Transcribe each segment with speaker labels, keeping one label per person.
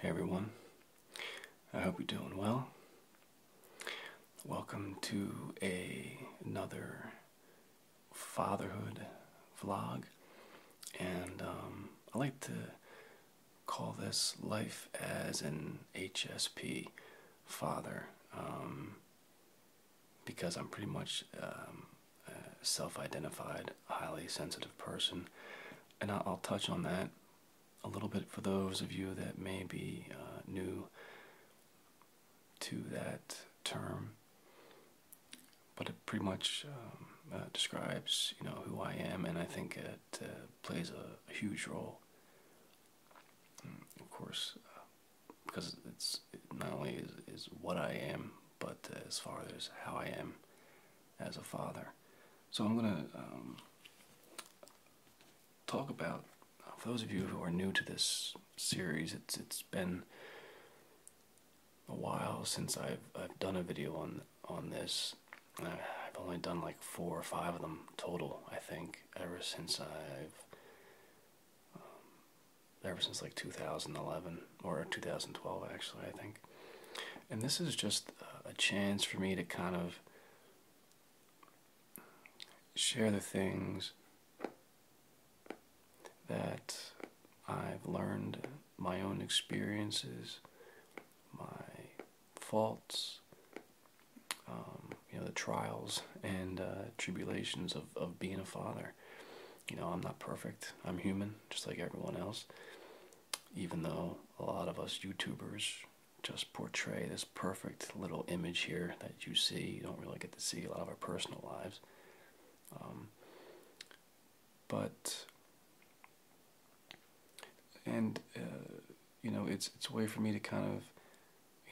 Speaker 1: Hey everyone, I hope you're doing well. Welcome to another fatherhood vlog, and um, I like to call this life as an HSP father um, because I'm pretty much um, self identified, highly sensitive person and I'll touch on that a little bit for those of you that may be uh, new to that term. But it pretty much um, uh, describes, you know, who I am, and I think it uh, plays a, huge role. Mm, of course, because it's not only is, is what I am, but as far as how I am as a father. So I'm going to um, talk about, uh, for those of you who are new to this series, it's it's been a while since I've, I've done a video on, on this. Uh, I've only done like four or five of them total, I think, ever since I've um, ever since like 2011 or 2012 actually i think and this is just a chance for me to kind of share the things that I've learned, my own experiences, my faults, um, you know, the trials and uh, tribulations of, of being a father. You know, I'm not perfect, I'm human, just like everyone else even though a lot of us YouTubers just portray this perfect little image here that you see. You don't really get to see a lot of our personal lives. Um, but, and, uh, you know, it's, it's a way for me to kind of,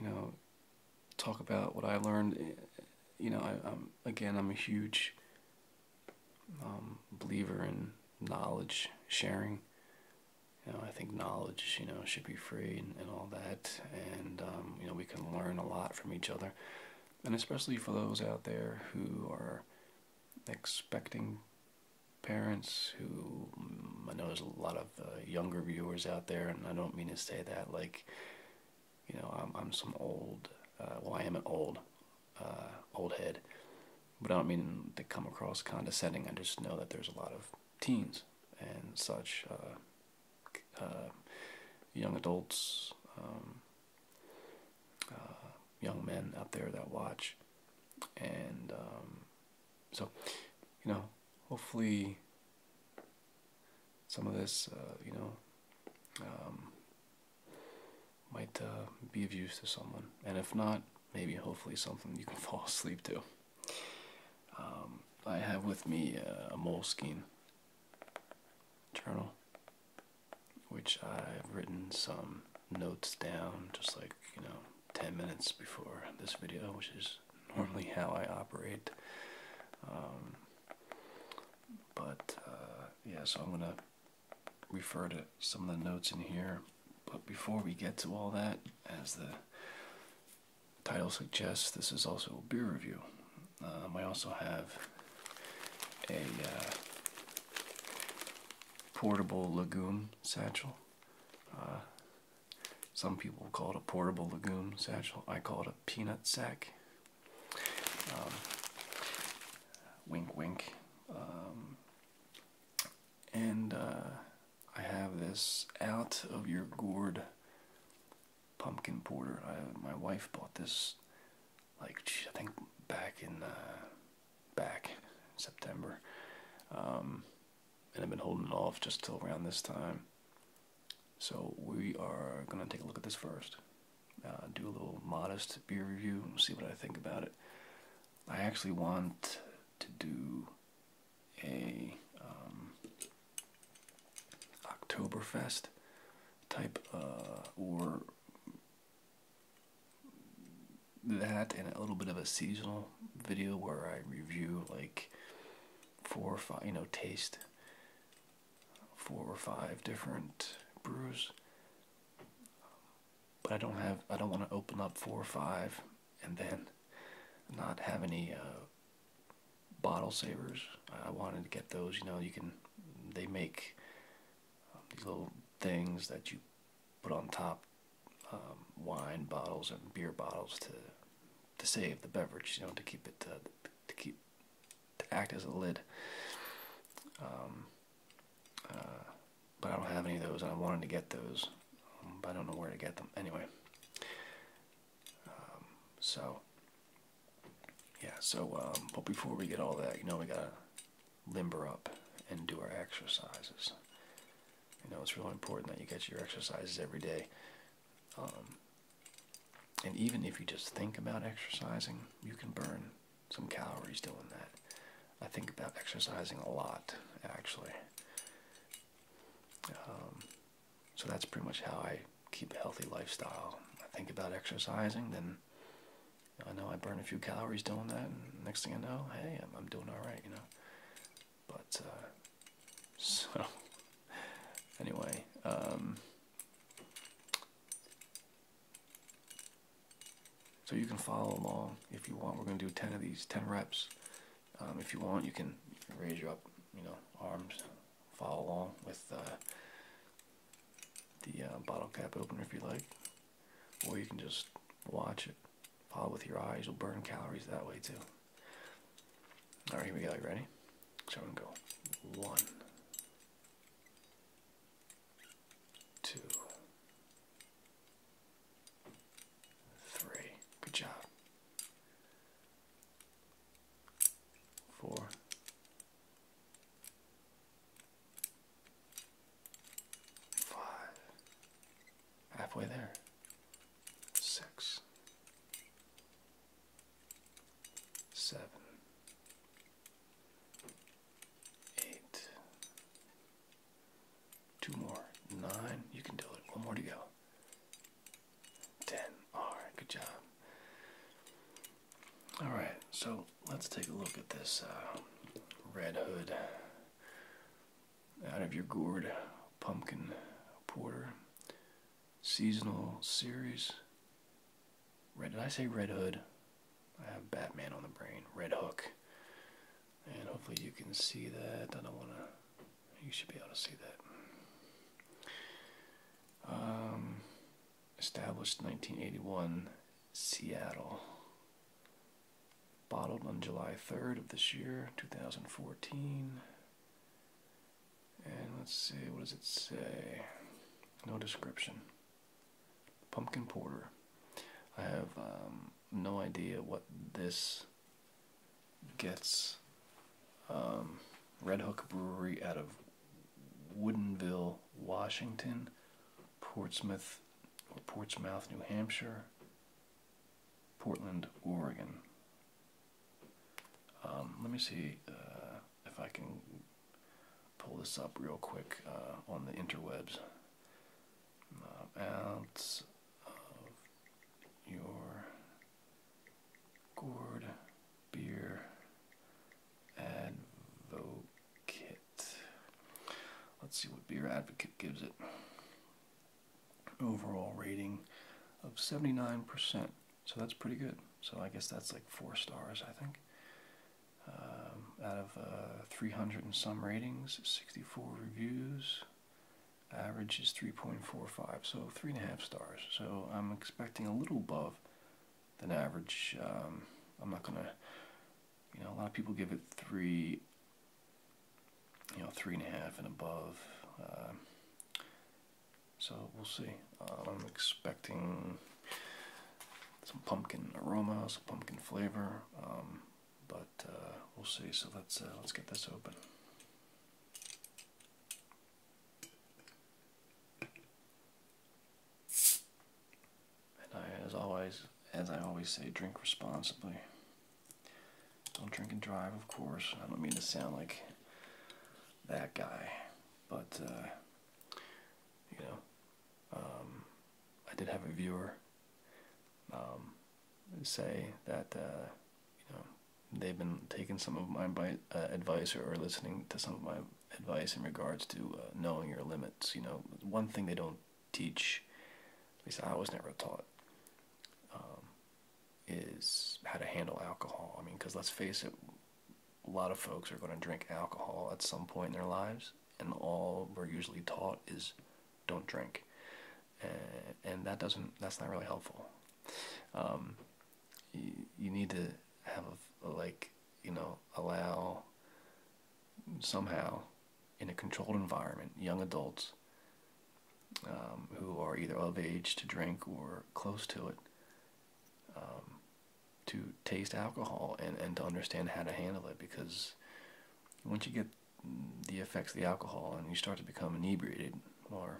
Speaker 1: you know, talk about what I learned. You know, I'm, again, I'm a huge um, believer in knowledge sharing. You know, I think knowledge, you know, should be free and, all that. And, um, you know, we can learn a lot from each other. And especially for those out there who are expecting parents, who mm, I know there's a lot of uh, younger viewers out there, and I don't mean to say that like, you know, I'm, I'm some old, uh, well, I am an old, uh, old head, but I don't mean to come across condescending. I just know that there's a lot of teens and such uh, uh, young adults, um, young men out there that watch, and um, so you know, hopefully, some of this, you know. Um, might uh, be of use to someone. And if not, maybe hopefully something you can fall asleep to. Um, I have with me uh, a Moleskine journal, which I've written some notes down just like, you know, 10 minutes before this video, which is normally how I operate. Um, but, uh, yeah, so I'm going to refer to some of the notes in here. But before we get to all that, as the title suggests, this is also a beer review. Um, I also have a uh, portable legume satchel. Uh, some people call it a portable legume satchel. I call it a peanut sack. Um, wink, wink. Um, and uh, I have this out of your gourd pumpkin porter. I, my wife bought this, like I think back in uh, back September, um, and I've been holding off just till around this time. So we are gonna take a look at this first. Uh, do a little modest beer review see what I think about it. I actually want to do a um, Oktoberfest type uh, or that and a little bit of a seasonal video where I review like four or five, you know, taste four or five different brews but I don't have I don't want to open up four or five and then not have any uh, bottle savers. I wanted to get those. You know, you can they make um, these little things that you put on top um, wine bottles and beer bottles to to save the beverage. You know, to keep it uh, to keep to act as a lid. Um, uh, but I don't have any of those, and I wanted to get those, um, but I don't know where to get them. Anyway, um, so yeah, so um, but before we get all that, you know, we gotta limber up and do our exercises. You know, it's really important that you get your exercises every day. and even if you just think about exercising, you can burn some calories doing that. I think about exercising a lot, actually. Um, so that's pretty much how I keep a healthy lifestyle. I think about exercising, then I know I burn a few calories doing that, and next thing I know, hey, I'm, I'm doing all right, you know. But uh, so anyway, um, so you can follow along if you want. We're going to do 10 of these, 10 reps. Um, if you want, you can, raise your up, you know, arms, follow along with uh, the uh, bottle cap opener if you like. Or you can just watch it, follow with your eyes. You'll burn calories that way too. All right, here we go. You ready? So I'm going to go one, two, Three. Good job. Four. Five. Halfway there. Six. Seven. Eight. Two more. Nine. You can do it. One more to go. Ten. Alright, good job. Alright, so let's take a look at this um, Red Hood out of your gourd pumpkin porter seasonal series. Red, did I say Red Hood? I have Batman on the brain, Red Hook. And hopefully you can see that. I don't want to, you should be able to see that. Um, established 1981, Seattle. Bottled on July 3rd of this year, 2014. And let's see, what does it say? No description. Pumpkin porter. I have um, no idea what this gets. Um, Red Hook Brewery out of Woodinville, Washington, Portsmouth or Portsmouth, New Hampshire, Portland, Oregon. Um, let me see uh, if I can pull this up real quick uh, on the interwebs. Uh, out of your gourd beer advocate. Let's see what Beer Advocate gives it. Overall rating of 79%. So that's pretty good. So I guess that's like four stars, I think. Um, out of uh, 300 and some ratings, 64 reviews, average is 3.45, so three and a half stars. So I'm expecting a little above than average. Um, I'm not gonna, you know, a lot of people give it three, you know, three and a half and above. Um, so we'll see. I'm expecting some pumpkin aroma, some pumpkin flavor but uh, we'll see. So let's uh, let's get this open. And as always, as I always say, drink responsibly. Don't drink and drive, of course. I don't mean to sound like that guy, but uh, you know, um, I did have a viewer um, say that uh, you know they've been taking some of my uh, advice or, listening to some of my advice in regards to uh, knowing your limits. You know, one thing they don't teach, at least I was never taught, um, is how to handle alcohol. I mean, because let's face it, a lot of folks are going to drink alcohol at some point in their lives, and all we're usually taught is don't drink, uh, and that doesn't that's not really helpful. Um, you, need to have a, like you know allow somehow in a controlled environment young adults um, who are either of age to drink or close to it um, to taste alcohol and, and to understand how to handle it because once you get the effects of the alcohol and you start to become inebriated or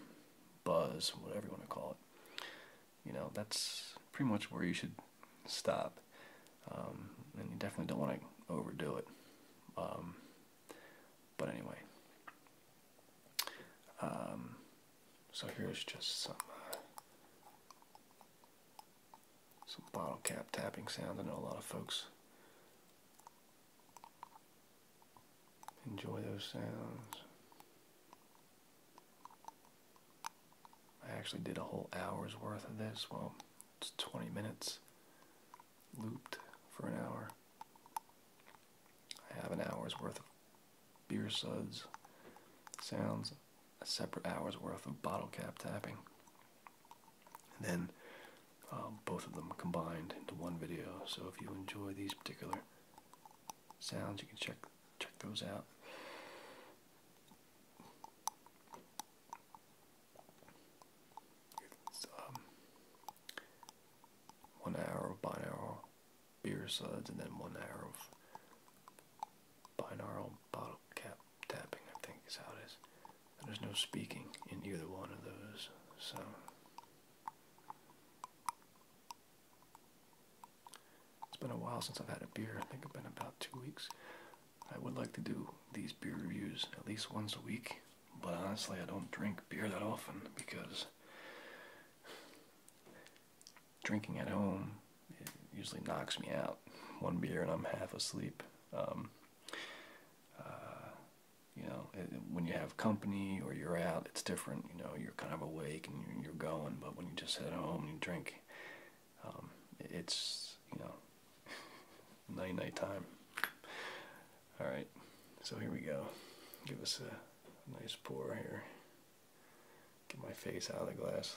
Speaker 1: buzz, whatever you want to call it, you know, that's pretty much where you should stop. Um, and you definitely don't want to overdo it. Um, but anyway, um, so here's just some uh, some bottle cap tapping sounds. I know a lot of folks enjoy those sounds. I actually did a whole hour's worth of this. Well, it's 20 minutes looped for an hour. I have an hour's worth of beer suds sounds, a separate hour's worth of bottle cap tapping. And then um, both of them combined into one video. So if you enjoy these particular sounds, you can check check those out. Um, one hour of binaural beer suds, and then one hour of binaural bottle cap tapping, I think is how it is. There's no speaking in either one of those, so. It's been a while since I've had a beer. I think it's been about two weeks. I would like to do these beer reviews at least once a week, but honestly, I don't drink beer that often because drinking at home usually knocks me out. One beer and I'm half asleep. Um, uh, you know, when you have company or you're out, it's different. You know, you're kind of awake and you're, going. But when you just at home and you drink, um, it's you know, night night time. All right, so here we go. Give us a nice pour here. Get my face out of the glass.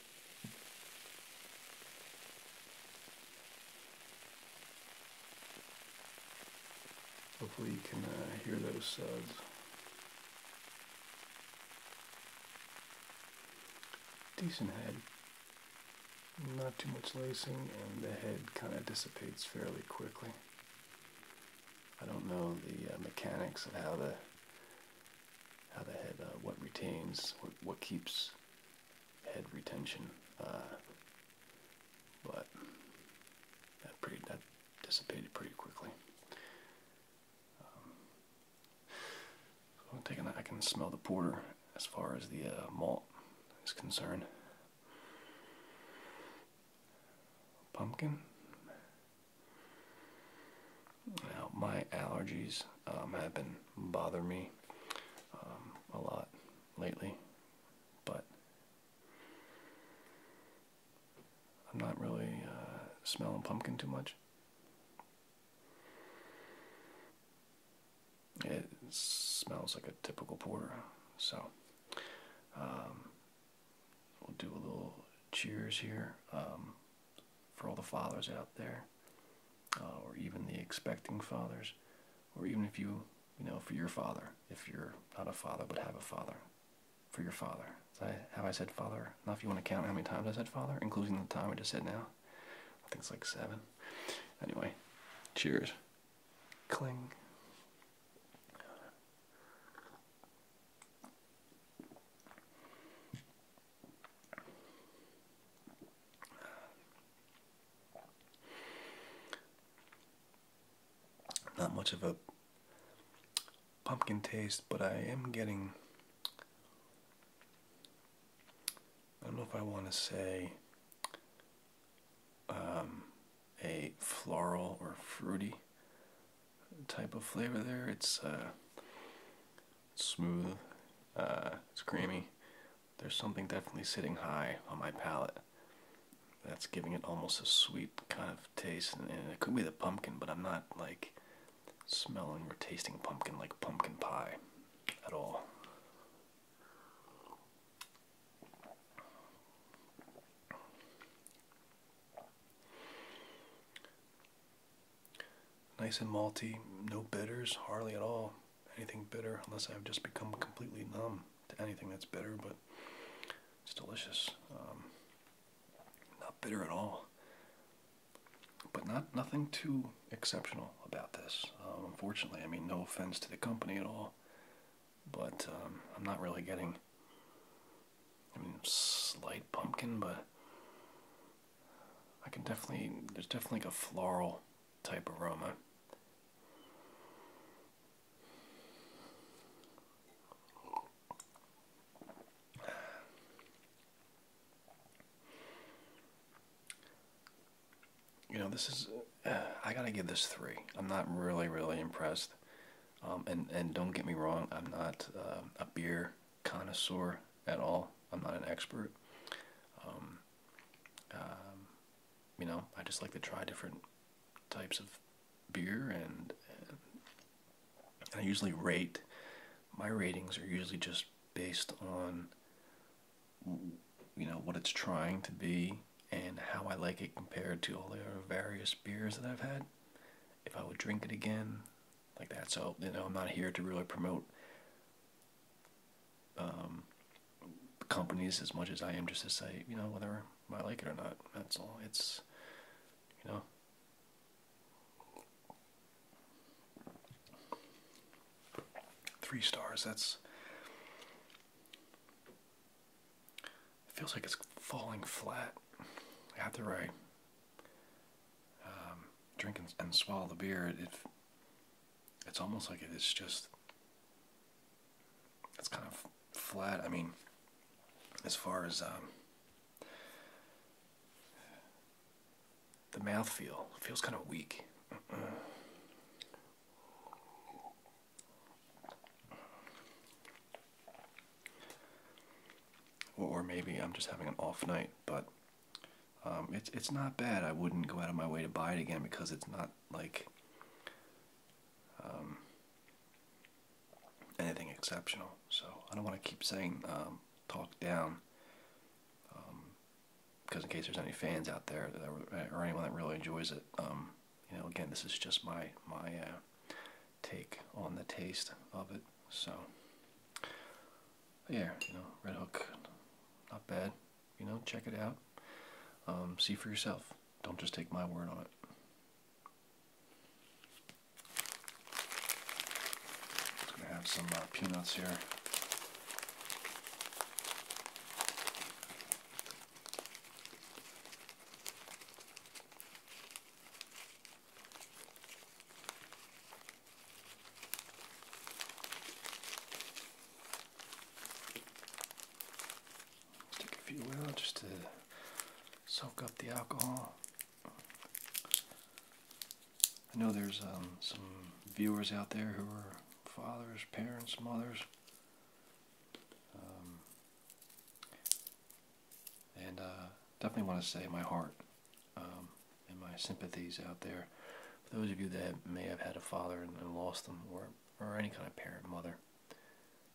Speaker 1: Hopefully you can uh, hear those suds. Decent head. Not too much lacing and the head kind of dissipates fairly quickly. I don't know the uh, mechanics of how the how the head uh, what retains what keeps head retention. Uh, but that pretty that dissipated pretty quickly. Um, i taking I can smell the porter as far as the uh, malt is concerned. Pumpkin. Now my allergies um, have been bother me um, a lot lately, but I'm not really uh, smelling pumpkin too much. It smells like a typical porter, so um, we'll do a little cheers here um, for all the fathers out there. Uh, or even the expecting fathers, or even if you, you know, for your father, if you're not a father but have a father, for your father. I, have I said father? Now, if you want to count how many times I said father, including the time I just said now, I think it's like seven. Anyway, cheers. Cling. Not much of a pumpkin taste, but I am getting. I don't know if I want to say um, a floral or fruity type of flavor there. It's uh, smooth, uh, it's creamy, there's something definitely sitting high on my palate. That's giving it almost a sweet kind of taste, and, it could be the pumpkin, but I'm not like smelling or tasting pumpkin like pumpkin pie at all. Nice and malty, no bitters, hardly at all anything bitter unless I've just become completely numb to anything that's bitter, but it's delicious. Um, not bitter at all. But not nothing too exceptional about this. Um, unfortunately, I mean, no offense to the company at all, but um, I'm not really getting. I mean, slight pumpkin, but I can definitely. There's definitely a floral type aroma. You know, this is, uh, I gotta give this three. I'm not really, really impressed. Um, and, and don't get me wrong, I'm not uh, a beer connoisseur at all. I'm not an expert. Um, um, you know, I just like to try different types of beer, and I usually rate. My ratings are usually just based on you know what it's trying to be and how I like it compared to all the various beers that I've had. If I would drink it again, like that. So you know, I'm not here to really promote um, companies as much as I am just to say, you know, whether I like it or not. That's all. It's, you know. Three stars, that's. feels like it's falling flat I after I um, drink and, swallow the beer. if. It's almost like it is just. It's kind of flat. I mean, as far as um, the mouth feel, feels kind of weak. or maybe I'm just having an off night, but um, it's it's not bad. I wouldn't go out of my way to buy it again because it's not like um, anything exceptional. So I don't want to keep saying um, talk down because in case there's any fans out there or anyone that really enjoys it, you know, again, this is just my my uh, take on the taste of it. So yeah, you know, Red Hook, not bad. You know, check it out. Um, see for yourself. Don't just take my word on it. gonna have some uh, peanuts here. Stick if you will, just to soak up the alcohol. I know there's um, some viewers out there who are fathers, parents, mothers. Um, and uh, definitely want to say my heart um, and my sympathies out there for those of you that may have had a father and, lost them, or or any kind of parent, mother,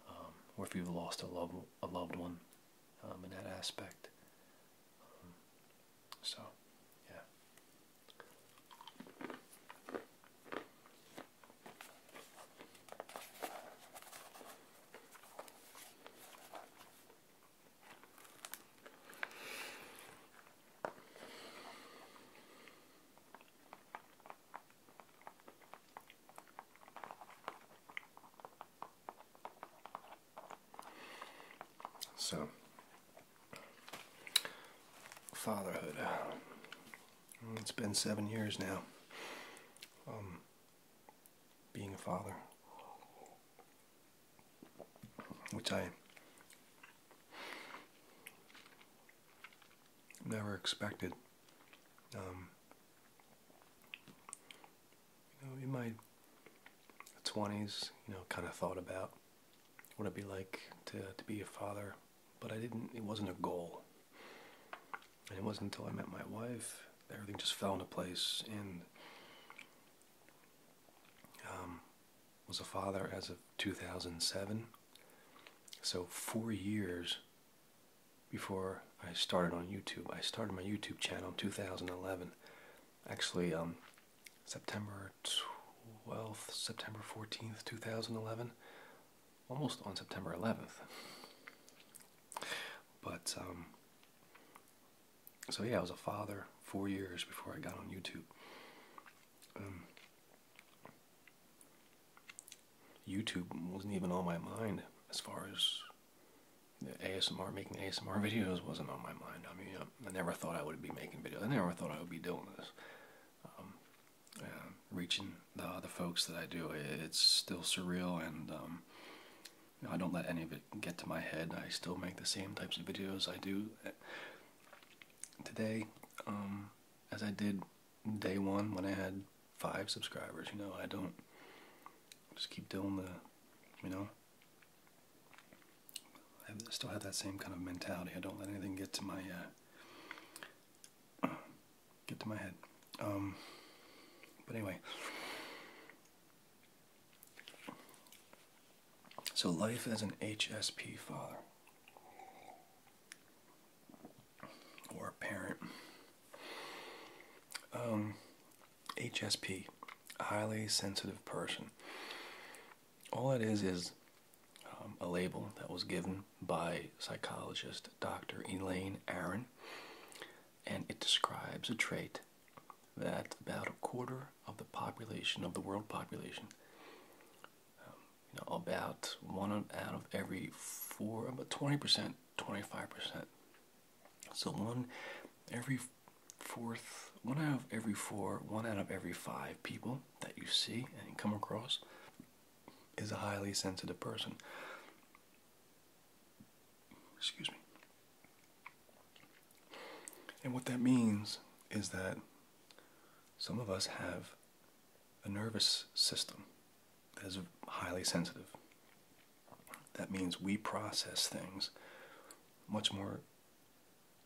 Speaker 1: um, or if you've lost a loved a loved one, um, in that aspect. Um, so, yeah. So, fatherhood. It's been seven years now. Um, being a father, which I Never expected. Um, you know, in my 20s, you know, kind of thought about what it'd be like to, to be a father, but I didn't, it wasn't a goal. And it wasn't until I met my wife, everything just fell into place and um, was a father as of 2007. So, four years before I started on YouTube. I started my YouTube channel in 2011. Actually, um, September 12th, September 14th, 2011. Almost on September 11th. But, um, so yeah, I was a father four years before I got on YouTube. Um, YouTube wasn't even on my mind as far as the ASMR, making ASMR videos wasn't on my mind. I mean, I, never thought I would be making videos. I never thought I would be doing this. Um, reaching the other folks that I do, it's still surreal and um, I don't let any of it get to my head. I still make the same types of videos I do today, um, as I did day one when I had five subscribers. You know, I don't just keep doing the, you know, I still have that same kind of mentality. I don't let anything get to my uh, get to my head. Um, but anyway, so, life as an HSP father or parent. Um, HSP, highly sensitive person. All it is is um, a label that was given by psychologist Dr. Elaine Aaron, and it describes a trait that about a quarter of the population of the world population um, you know, about one out of every four, about 20%, 25%. So one every fourth, one out of every four, one out of every five people that you see and come across is a highly sensitive person. Excuse me. And what that means is that some of us have a nervous system that is highly sensitive. That means we process things much more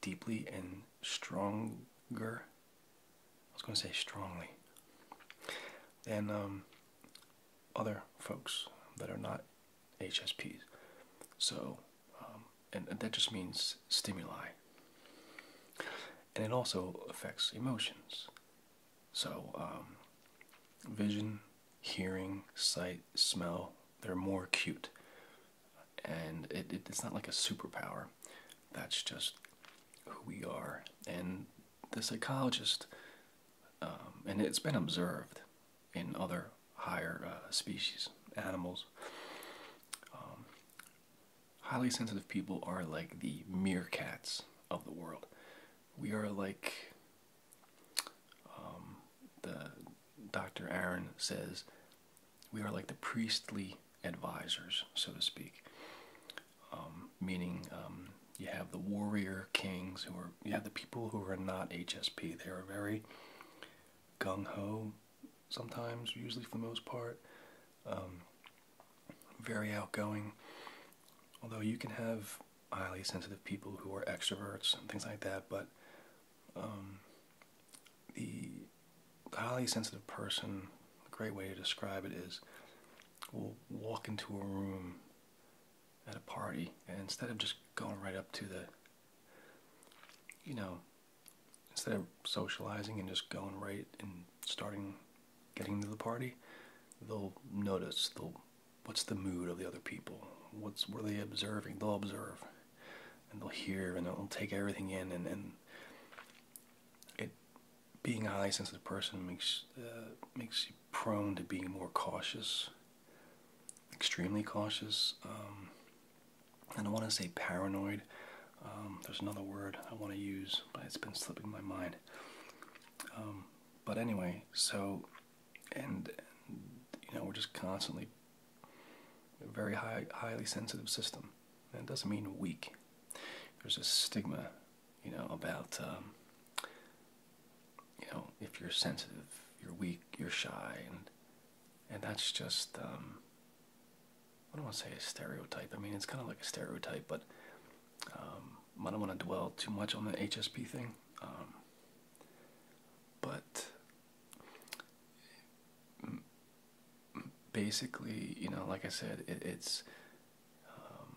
Speaker 1: deeply and stronger. I was going to say strongly than um, other folks that are not HSPs. So um, and, that just means stimuli. And it also affects emotions. So, um, vision, hearing, sight, smell, they're more acute. And it's not like a superpower, that's just who we are. And the psychologist, um, and it's been observed in other higher uh, species, animals. Um, highly sensitive people are like the meerkats of the world. We are like um, the Dr. Aaron says, we are like the priestly advisors, so to speak. Um, meaning um, you have the warrior kings who are you have the people who are not HSP. They are very gung ho, sometimes, usually for the most part. Um, very outgoing. Although you can have highly sensitive people who are extroverts and things like that, but um, the highly sensitive person, a great way to describe it is, will walk into a room at a party and instead of just going right up to the, you know, instead of socializing and just going right and starting getting to the party, they'll notice they'll what's the mood of the other people, what's were they observing? They'll observe and they'll hear and they'll take everything in and, and it being a highly sensitive person makes uh, makes you prone to being more cautious, extremely cautious. Um, I don't want to say paranoid. Um, there's another word I want to use, but it's been slipping my mind. Um, but anyway, so and, you know we're just constantly a very high, highly sensitive system. That doesn't mean weak. There's a stigma, you know, about um, you know if you're sensitive, you're weak, you're shy, and and that's just um, I don't want to say a stereotype. I mean, it's kind of like a stereotype, but um, I don't want to dwell too much on the HSP thing. Um, but basically, you know, like I said, it's um,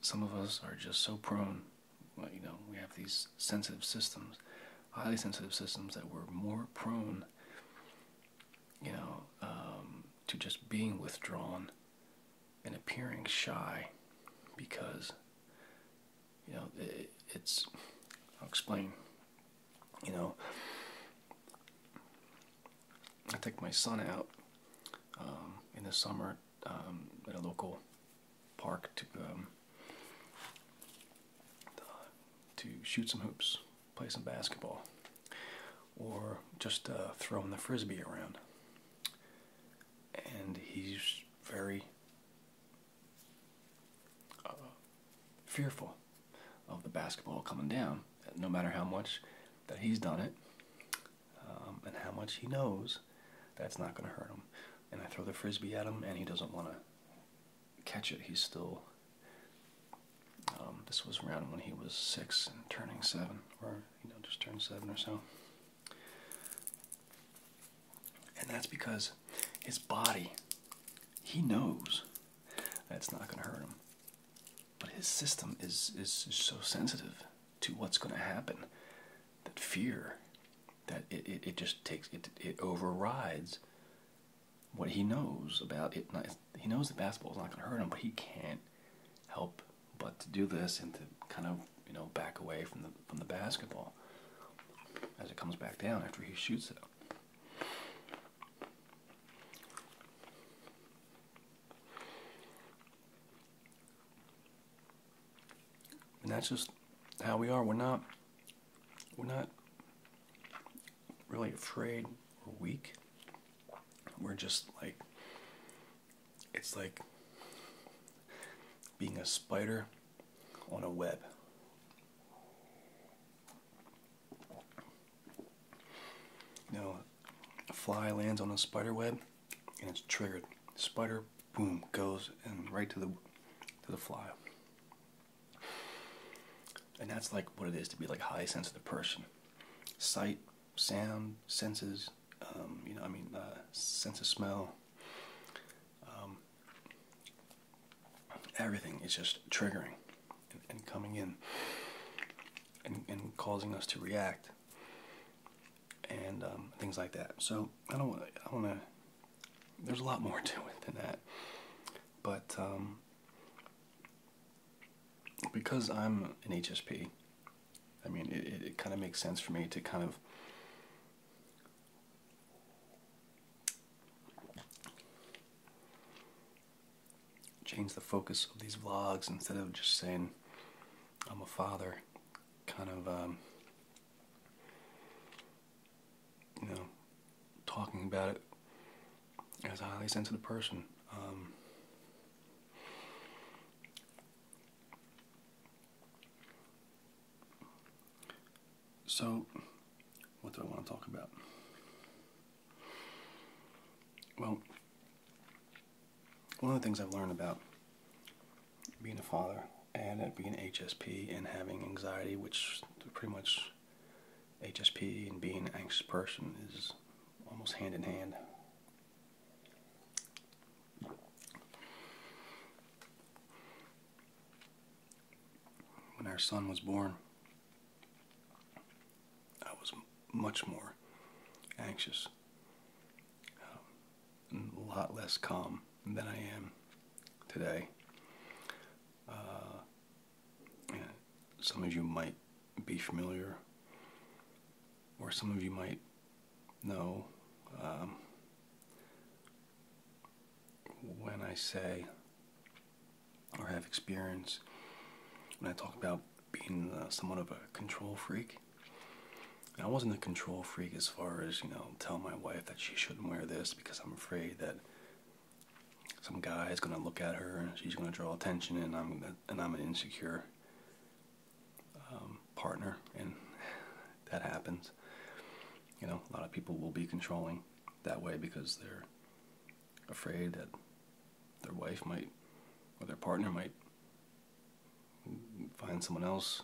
Speaker 1: some of us are just so prone. You know, we have these sensitive systems, highly sensitive systems that we're more prone you know, um, to just being withdrawn and appearing shy because, you know, it's, I'll explain, you know, I take my son out um, in the summer um, at a local park to um, to shoot some hoops play some basketball, or just uh, throwing the frisbee around. And he's very uh, fearful of the basketball coming down, no matter how much that he's done it um, and how much he knows that's not going to hurt him. And I throw the frisbee at him, and he doesn't want to catch it. He's still. Um, this was around when he was six and turning seven, or you know, just turned seven or so. And that's because his body, he knows that's not going to hurt him. But his system is, is so sensitive to what's going to happen that fear, that it, it just takes, it, it overrides what he knows about it. he knows that basketball is not going to hurt him, but he can't help but to do this and to kind of you know back away from the from the basketball as it comes back down after he shoots it. And that's just how we are. We're not we're not really afraid or weak. We're just like, it's like being a spider on a web. You know, a fly lands on a spider web and it's triggered. Spider, boom, goes and right to the to the fly. And that's like what it is to be like highly sensitive person. Sight, sound, senses, um, you know, I mean, uh, sense of smell, um, everything is just triggering and, coming in and, causing us to react and um, things like that. So I don't want to, I want to, there's a lot more to it than that. But because I'm an HSP, I mean, it, it, kind of makes sense for me to kind of change the focus of these vlogs instead of just saying I'm a father, kind of um, you know, talking about it as a highly sensitive person. Um, so, what do I want to talk about? Well, one of the things I've learned about being a father and at being HSP and having anxiety, which pretty much HSP and being an anxious person is almost hand in hand. When our son was born, I was much more anxious, um, a lot less calm than I am today. Uh, some of you might be familiar, or some of you might know. Um, when I say or have experience, when I talk about being uh, somewhat of a control freak, I wasn't a control freak as far as, you know, tell my wife that she shouldn't wear this because I'm afraid that some guy is gonna look at her and she's gonna draw attention, and I'm and I'm an insecure um, partner, and that happens. You know, a lot of people will be controlling that way because they're afraid that their wife might or their partner might find someone else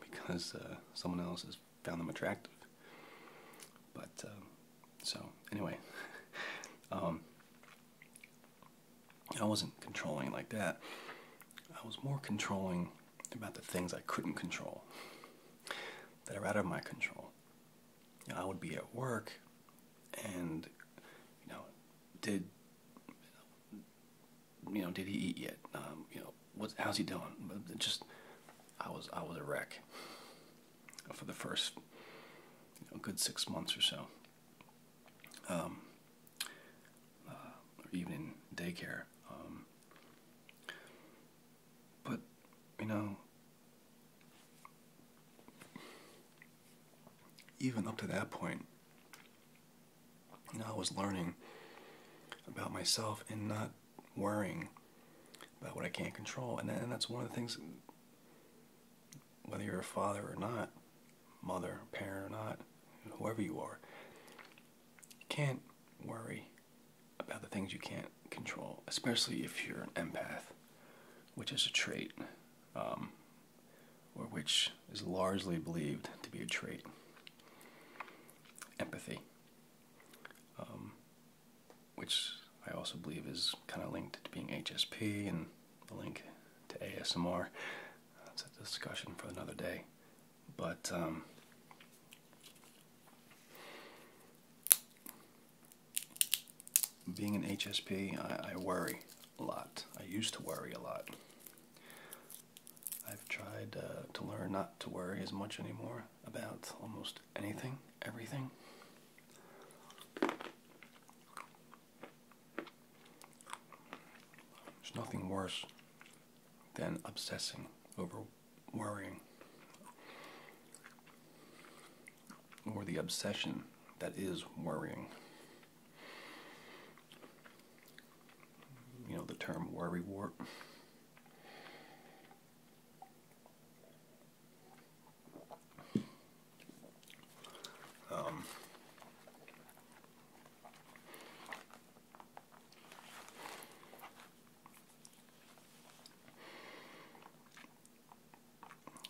Speaker 1: because uh, someone else has found them attractive. But uh, so anyway, um, I wasn't controlling like that. I was more controlling about the things I couldn't control that are out of my control. I would be at work and you know did you know did he eat yet um, you know what's how's he doing just I was I was a wreck for the first good six months or so, um, uh, or even in daycare. Um, but, you know, even up to that point, you know, I was learning about myself and not worrying about what I can't control. And, that's one of the things, whether you're a father or not, mother, parent or not, whoever you are, you can't worry about the things you can't control, especially if you're an empath, which is a trait, um, or which is largely believed to be a trait. Empathy. Um, which I also believe is kind of linked to being HSP and the link to ASMR. That's a discussion for another day. But um, being an HSP, I, worry a lot. I used to worry a lot. I've tried uh, to learn not to worry as much anymore about almost anything, everything. There's nothing worse than obsessing over worrying or the obsession that is worrying. You know the term worrywart. Um,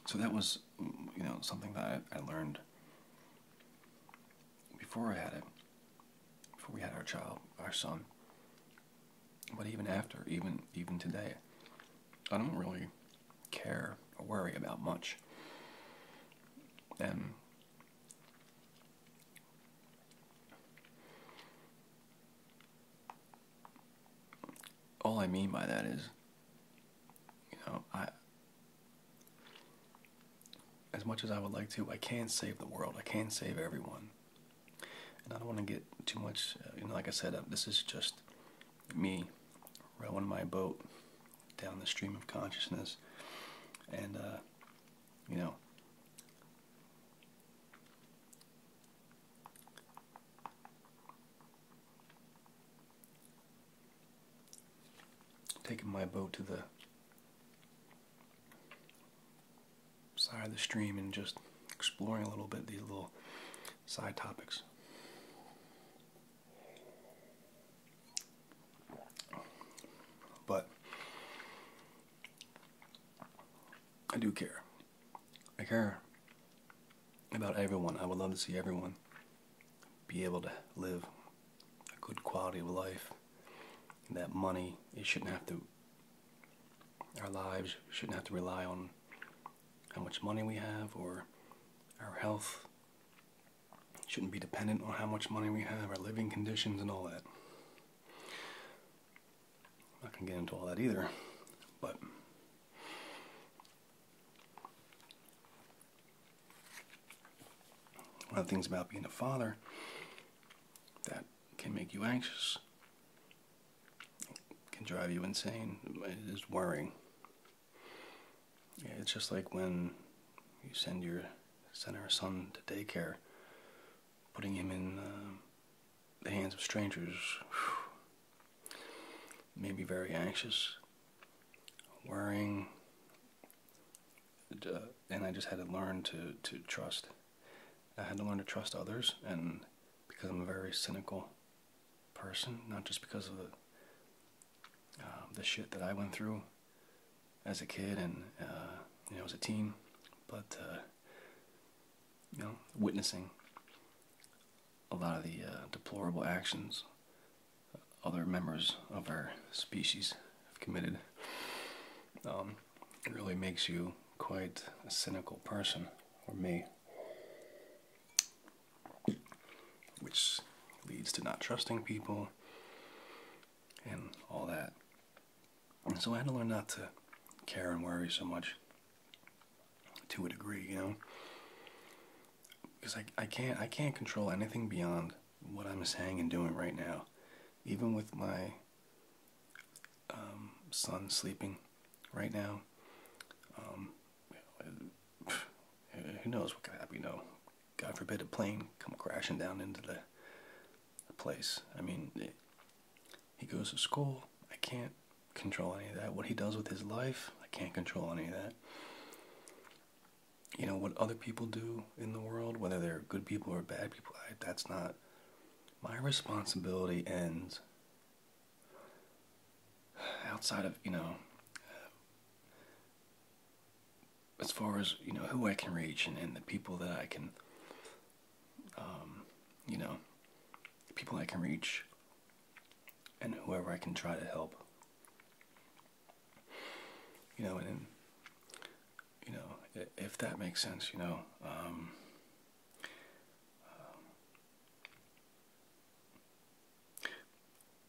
Speaker 1: so that was, you know, something that I learned before I had it, before we had our child, our son. But even after, even even today, I don't really care or worry about much. And all I mean by that is, you know, I as much as I would like to, I can't save the world. I can't save everyone. And I don't want to get too much, uh, you know, like I said, uh, this is just me rowing my boat down the stream of consciousness. And, uh, you know, taking my boat to the side of the stream and just exploring a little bit these little side topics. But I do care. I care about everyone. I would love to see everyone be able to live a good quality of life. that money, it shouldn't have to, our lives shouldn't have to rely on how much money we have or our health. shouldn't be dependent on how much money we have, our living conditions, and all that. I'm not going to get into all that either, but. One of the things about being a father that can make you anxious can drive you insane. It is worrying. it's just like when you send your send our son to daycare, putting him in um, the hands of strangers. Whew, made very anxious, worrying, uh, and I just had to learn to to trust. I had to learn to trust others, and because I'm very cynical person, not just because of the um, the shit that I went through as a kid and uh, you know as a teen, but uh, you know witnessing a lot of the uh, deplorable actions other members of our species have committed um, really makes you quite a cynical person, or me which leads to not trusting people and all that. so I had to learn not to care and worry so much to a degree, you know? Because I, can't I can't control anything beyond what I'm saying and doing right now. Even with my um, son sleeping right now. Um, who knows what could happen? You God forbid a plane come crashing down into the, place. I mean, he goes to school. I can't control any of that. What he does with his life, I can't control any of that. You know, what other people do in the world, whether they're good people or bad people, that's not my responsibility ends outside of you know as far as you know who I can reach and, the people that I can um, you know people I can reach and whoever I can try to help you know and, you know if that makes sense you know um,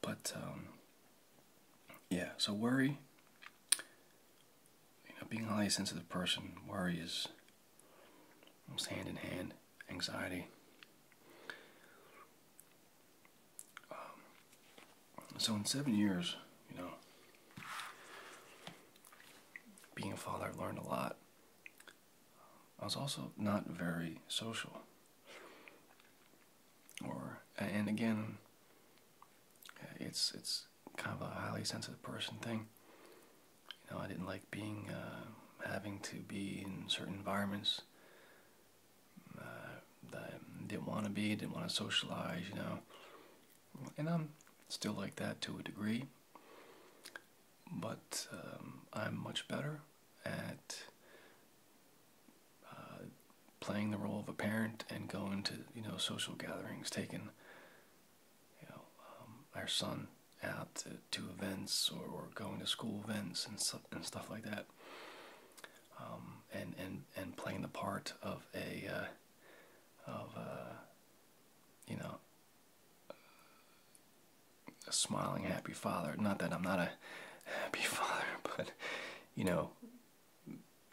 Speaker 1: but um, yeah, so worry. being a highly sensitive person, worry is almost hand in hand. Anxiety. Um, so in seven years, you know, being a father, I've learned a lot. I was also not very social. Or and again, it's it's kind of a highly sensitive person thing. You know, I didn't like being uh, having to be in certain environments uh, I didn't want to be, didn't want to socialize. You know, and I'm still like that to a degree but um, I'm much better at uh, playing the role of a parent and going to you know social gatherings, taking you know um, our son out to, events or, going to school events and stuff like that, um, and and and playing the part of a uh, of a, uh, you know a smiling, happy father. Not that I'm not a happy father, but you know,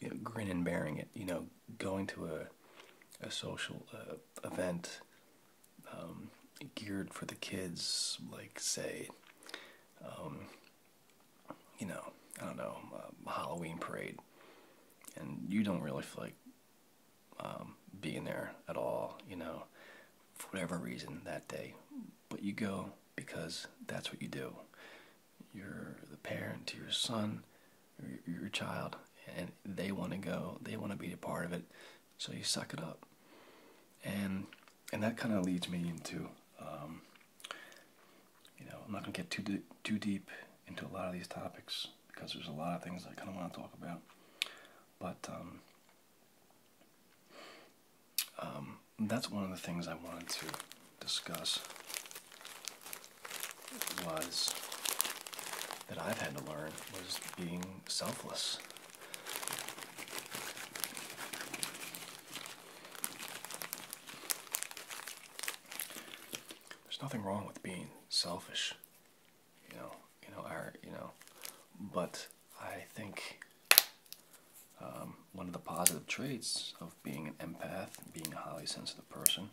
Speaker 1: you know grin and bearing it. You know, going to a a social uh, event um, geared for the kids, like say, um, you know, I don't know, a Halloween parade, and you don't really feel like um, being there at all, you know, for whatever reason that day. But you go because that's what you do. You're the parent to your son, your, child, and they want to go. They want to be a part of it, so you suck it up. And and that kind of leads me into, um, you know, I'm not gonna get too too deep into a lot of these topics because there's a lot of things I kind of want to talk about. But um, um, that's one of the things I wanted to discuss was that I've had to learn was being selfless. There's nothing wrong with being selfish you know, you know, our, you know, but I think um, one of the positive traits of being an empath, being a highly sensitive person,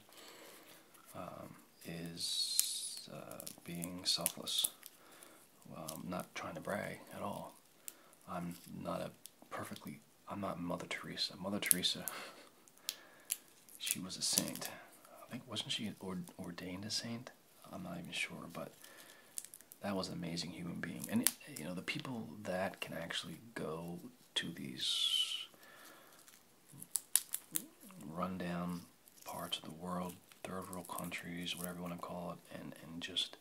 Speaker 1: um, is uh, being selfless. I'm um, not trying to brag at all. I'm not a perfectly, I'm not Mother Teresa. Mother Teresa, she was a saint. I think, wasn't she ordained a saint? I'm not even sure, but that was an amazing human being. And you know, the people that can actually go to these rundown parts of the world, third world countries, whatever you want to call it, and, and just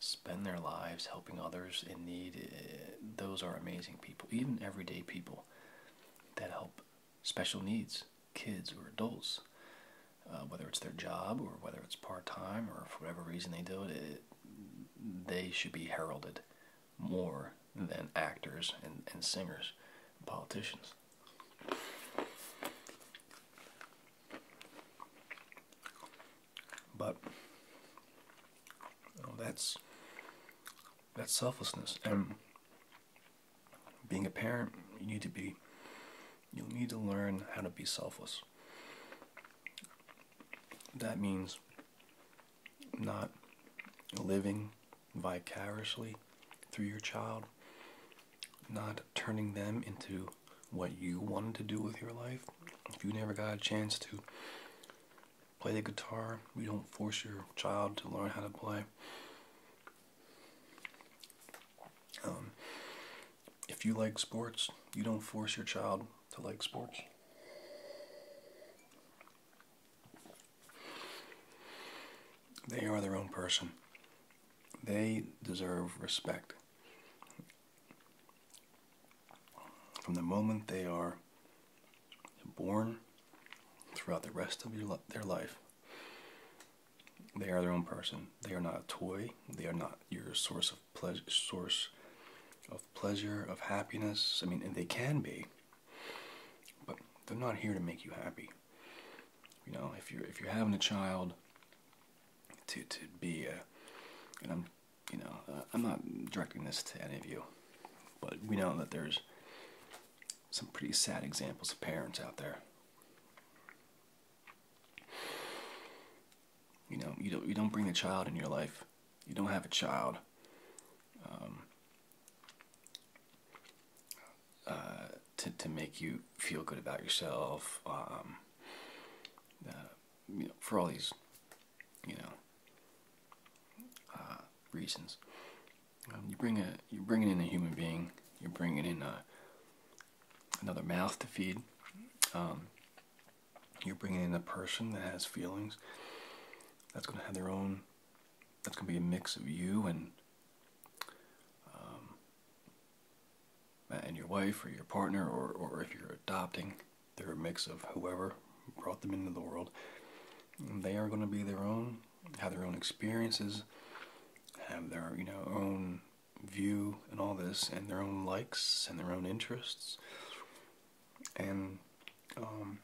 Speaker 1: spend their lives helping others in need. Eh, those are amazing people, even everyday people that help special needs kids or adults, uh, whether it's their job or whether it's part time or for whatever reason they do it, they should be heralded more than actors and, and singers and politicians. But that's that's selflessness, and being a parent, you need to be, you need to learn how to be selfless. That means not living vicariously through your child, not turning them into what you wanted to do with your life. If you never got a chance to play the guitar, you don't force your child to learn how to play. Um, if you like sports, you don't force your child to like sports. They are their own person. They deserve respect. From the moment they are born throughout the rest of their life, they are their own person. They are not a toy. They are not your source of pleasure, source of pleasure, of happiness. I mean, and they can be, but they're not here to make you happy. You know, if you're if you're having a child, to to be a, and I'm, you know, uh, I'm not directing this to any of you, but we know that there's some pretty sad examples of parents out there you know, you don't you don't bring a child in your life. You don't have a child. Um, uh, to to make you feel good about yourself. Um, uh, you know, for all these, you know, uh, reasons. Um, you bring a, you're bringing in a human being. You're bringing in a, another mouth to feed. Um, you're bringing in a person that has feelings. That's going to have their own. That's going to be a mix of you and um, and your wife or your partner or or if you're adopting, they're a mix of whoever brought them into the world. they are going to be their own have their own experiences, have their you know own view and all this, and their own likes and their own interests, and um,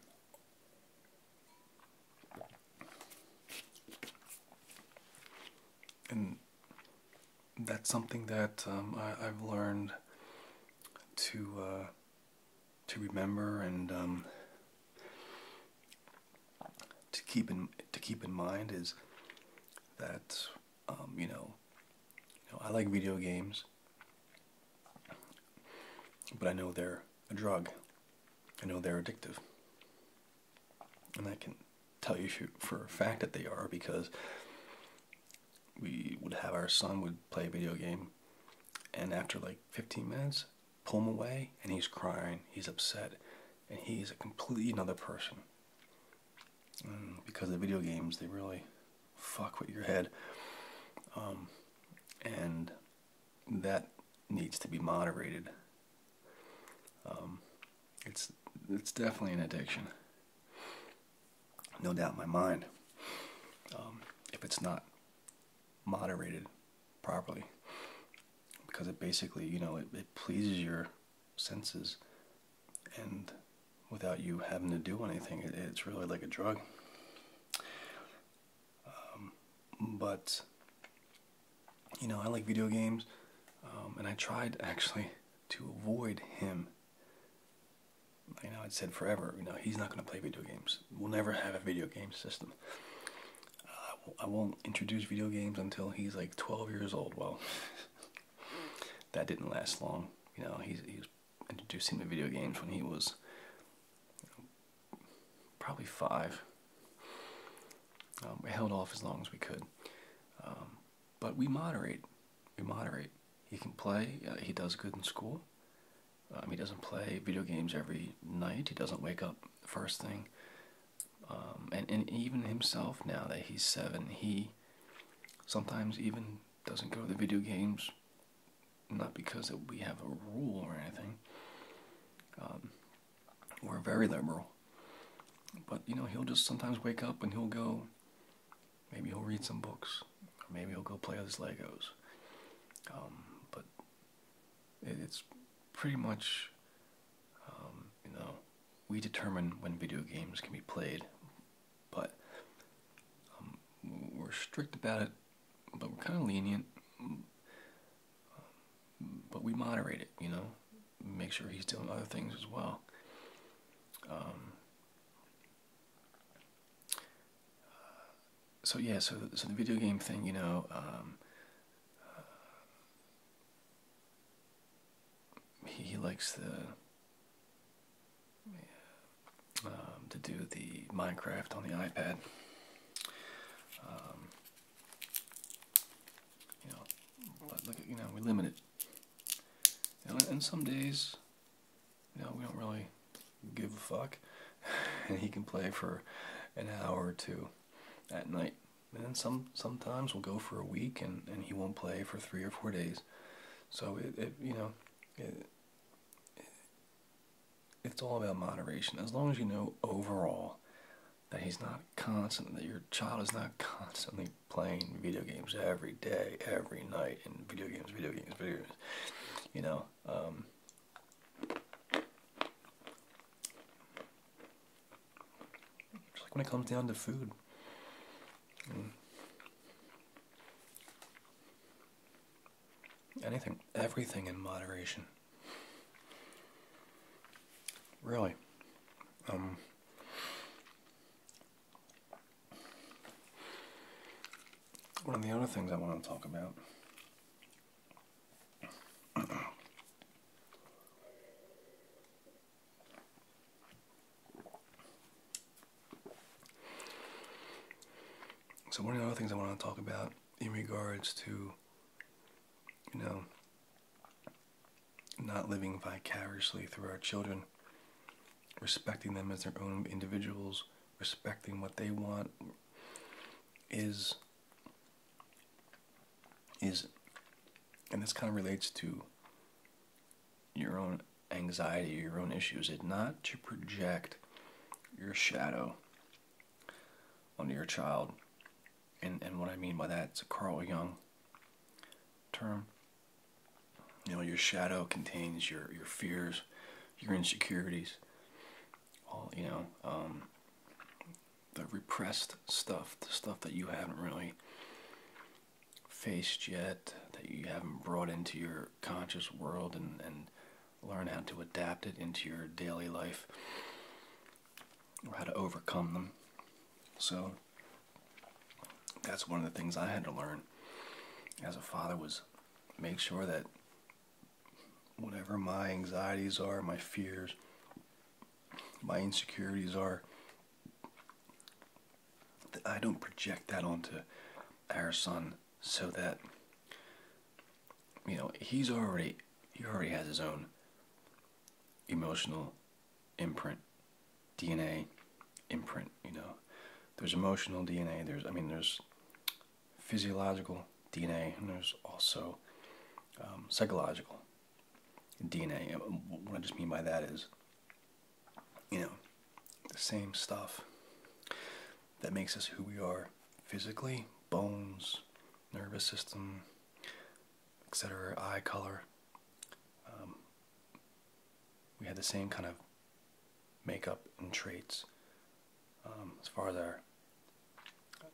Speaker 1: and that's something that um, I, have learned to uh, to remember and um, to keep in to keep in mind is that um, you know, I like video games, but I know they're a drug. I know they're addictive, and I can tell you for a fact that they are because we would have our son would play a video game, and after like 15 minutes, pull him away, and he's crying, he's upset, and he's a completely another person. And mm, because the video games, they really fuck with your head. Um, and that needs to be moderated. Um, it's it's definitely an addiction, no doubt in my mind. Um, if it's not moderated, properly because it basically, you know, it, pleases your senses and without you having to do anything, it's really like a drug. Um, but, you know, I like video games um, and I tried actually to avoid him. You know, I'd said forever, you know, he's not going to play video games. We'll never have a video game system. I won't introduce video games until he's like 12 years old. Well, that didn't last long. You know, he's, he was introducing to video games when he was probably five. Um, we held off as long as we could. Um, but we moderate. We moderate. He can play. Uh, he does good in school. Um, he doesn't play video games every night. He doesn't wake up first thing. Um, and, and even himself now that he's seven, he sometimes even doesn't go to the video games, not because we have a rule or anything. Um, we're very liberal. But, you know, he'll just sometimes wake up and he'll go, maybe he'll read some books, or maybe he'll go play with his Legos. Um, but it's pretty much um, you know, we determine when video games can be played, but um, we're strict about it, but we're kind of lenient. Um, but we moderate it, you know, make sure he's doing other things as well. so yeah, so the video game thing, you know, he, likes the um, to do the Minecraft on the iPad. Um, you know, but look you know we limit it. and some days, you know, we don't really give a fuck, and he can play for an hour or two at night man some sometimes we'll go for a week and and he won't play for three or four days so it, you know it, it's all about moderation as long as you know overall that he's not constant that your child is not constantly playing video games every day every night and video games video games video games you know um, just like when it comes down to food. Mm. Anything, everything in moderation. Really. Um, one of the other things I want to talk about so one of the other things I want to talk about in regards to, you know, not living vicariously through our children, respecting them as their own individuals, respecting what they want, is is, and this kind of relates to your own anxiety, your own issues, It's not to project your shadow onto your child. And, and what I mean by that, it's a Carl Jung term. You know, your shadow contains your, your fears, your insecurities, all, you know, um, the repressed stuff, the stuff that you haven't really faced yet, that you haven't brought into your conscious world and, and learn how to adapt it into your daily life or how to overcome them. So that's one of the things I had to learn as a father was make sure that whatever my anxieties are, my fears, my insecurities are, I don't project that onto our son so that you know he's already he already has his own emotional imprint dna imprint you know there's emotional dna there's i mean there's physiological dna and there's also um, psychological DNA. What I just mean by that is, you know, the same stuff that makes us who we are physically bones, nervous system, etc., eye color. Um, we had the same kind of makeup and traits um, as far as our,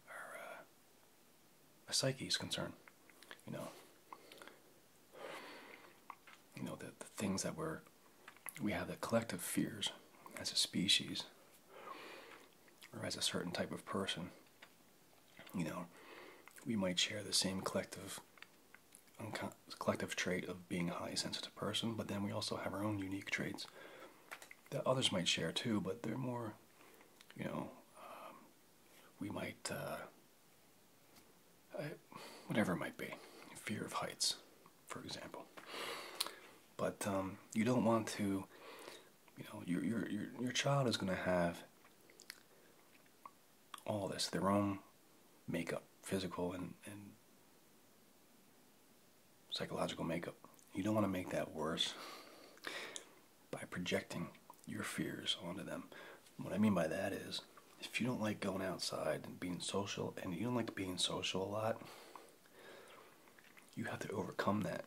Speaker 1: uh, a psyche is concerned. You know, you know the, the things that we're we have the collective fears as a species or as a certain type of person. You know, we might share the same collective collective trait of being a highly sensitive person, but then we also have our own unique traits that others might share too, but they're more, you know, um, we might, uh, whatever it might be, fear of heights, for example. But um, you don't want to, you know, your, your, your, your child is going to have all this, their own makeup, physical and, and psychological makeup. You don't want to make that worse by projecting your fears onto them. What I mean by that is, if you don't like going outside and being social, and you don't like being social a lot, you have to overcome that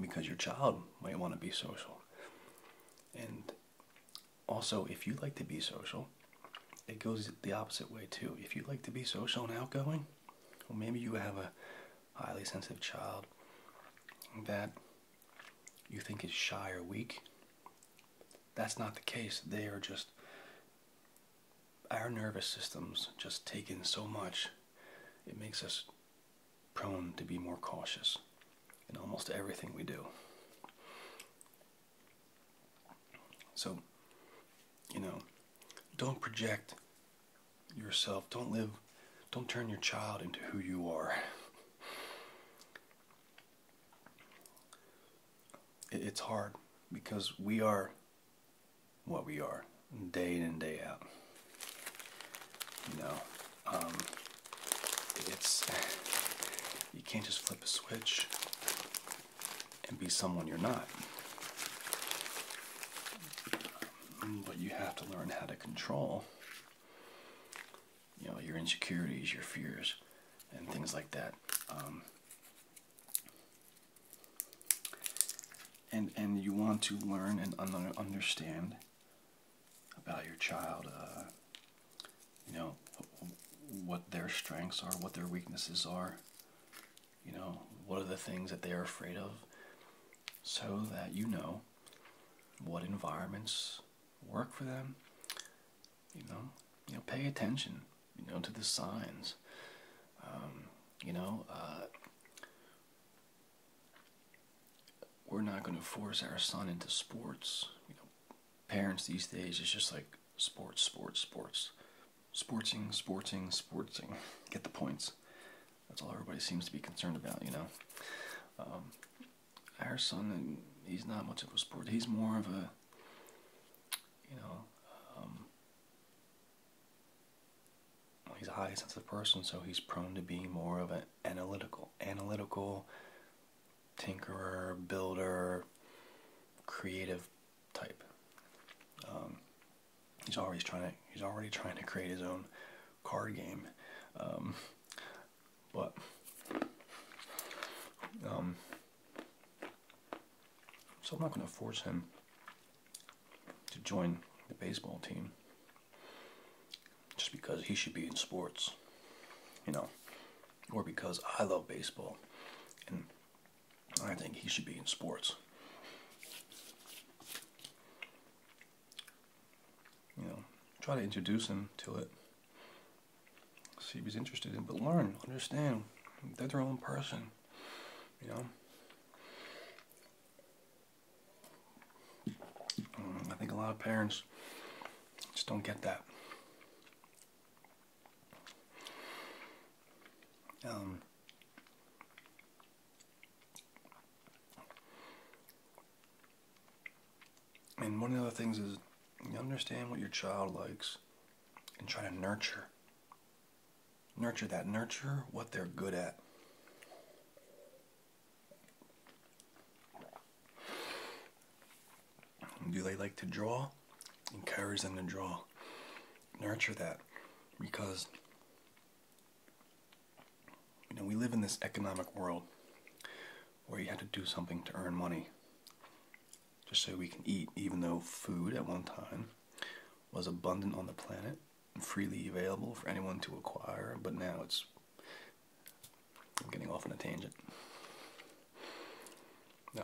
Speaker 1: because your child might want to be social. And also, if you like to be social, it goes the opposite way too. If you like to be social and outgoing, well, maybe you have a highly sensitive child that you think is shy or weak. That's not the case. They are just our nervous systems just take in so much, it makes us prone to be more cautious in almost everything we do. So, you know, don't project yourself. Don't live, don't turn your child into who you are. It's hard because we are what we are day in and day out. You know, um, it's, you can't just flip a switch and be someone you're not. But you have to learn how to control you know your insecurities, your fears, and things like that. Um, and and you want to learn and understand about your child. Uh, you know what their strengths are, what their weaknesses are. You know what are the things that they are afraid of, so that you know what environments work for them. You know, you know, pay attention. You know, to the signs. Um, you know, uh, we're not going to force our son into sports. parents these days it's just like sports, sports, sports, sporting, sporting, sporting. Get the points. That's all everybody seems to be concerned about, you know. Um, our son, he's not much of a sport. He's more of a, you know, um, he's a highly sensitive person, so he's prone to be more of an analytical, analytical tinkerer, builder, creative type. Um, he's always trying to he's already trying to create his own card game but um, so I'm not going to force him to join the baseball team just because he should be in sports, you know, or because I love baseball and I think he should be in sports you know, try to introduce him to it. See if he's interested in, but learn, understand. They're their own person, you know. Mm, I think a lot of parents just don't get that. Um, and one of the other things is you understand what your child likes and try to nurture. Nurture that. Nurture what they're good at. Do they like to draw? Encourage them to draw. Nurture that because you know, we live in this economic world where you have to do something to earn money just so we can eat, even though food at one time was abundant on the planet freely available for anyone to acquire, but now it's. I'm getting off on a tangent.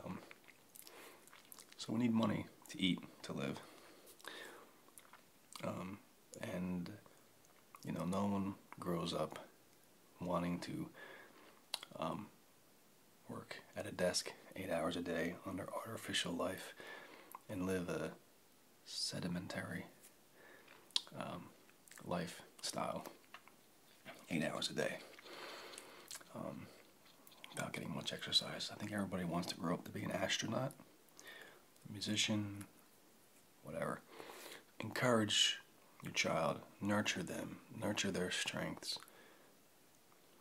Speaker 1: Um, so we need money to eat, to live. Um, and you know no one grows up wanting to um, work at a desk eight hours a day under artificial life and live a sedimentary um, lifestyle eight hours a day um, without getting much exercise. I think everybody wants to grow up to be an astronaut, a musician, whatever. Encourage your child, nurture them, nurture their strengths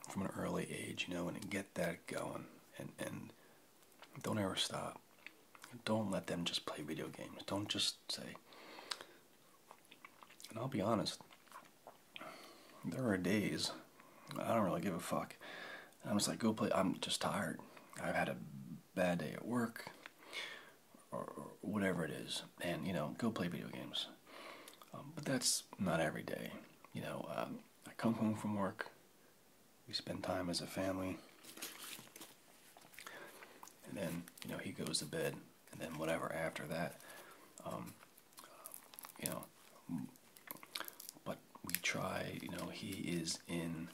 Speaker 1: from an early age, you know, and get that going. And, and don't ever stop. Don't let them just play video games. Don't just say, and I'll be honest, there are days I don't really give a fuck. I'm just like, go play. I'm just tired. I've had a bad day at work or, whatever it is, and you know, go play video games. Um, but that's not every day. You know, um, I come home from work, we spend time as a family, and then you know he goes to bed, and then whatever after that, um, you know. But we try. You know, he is in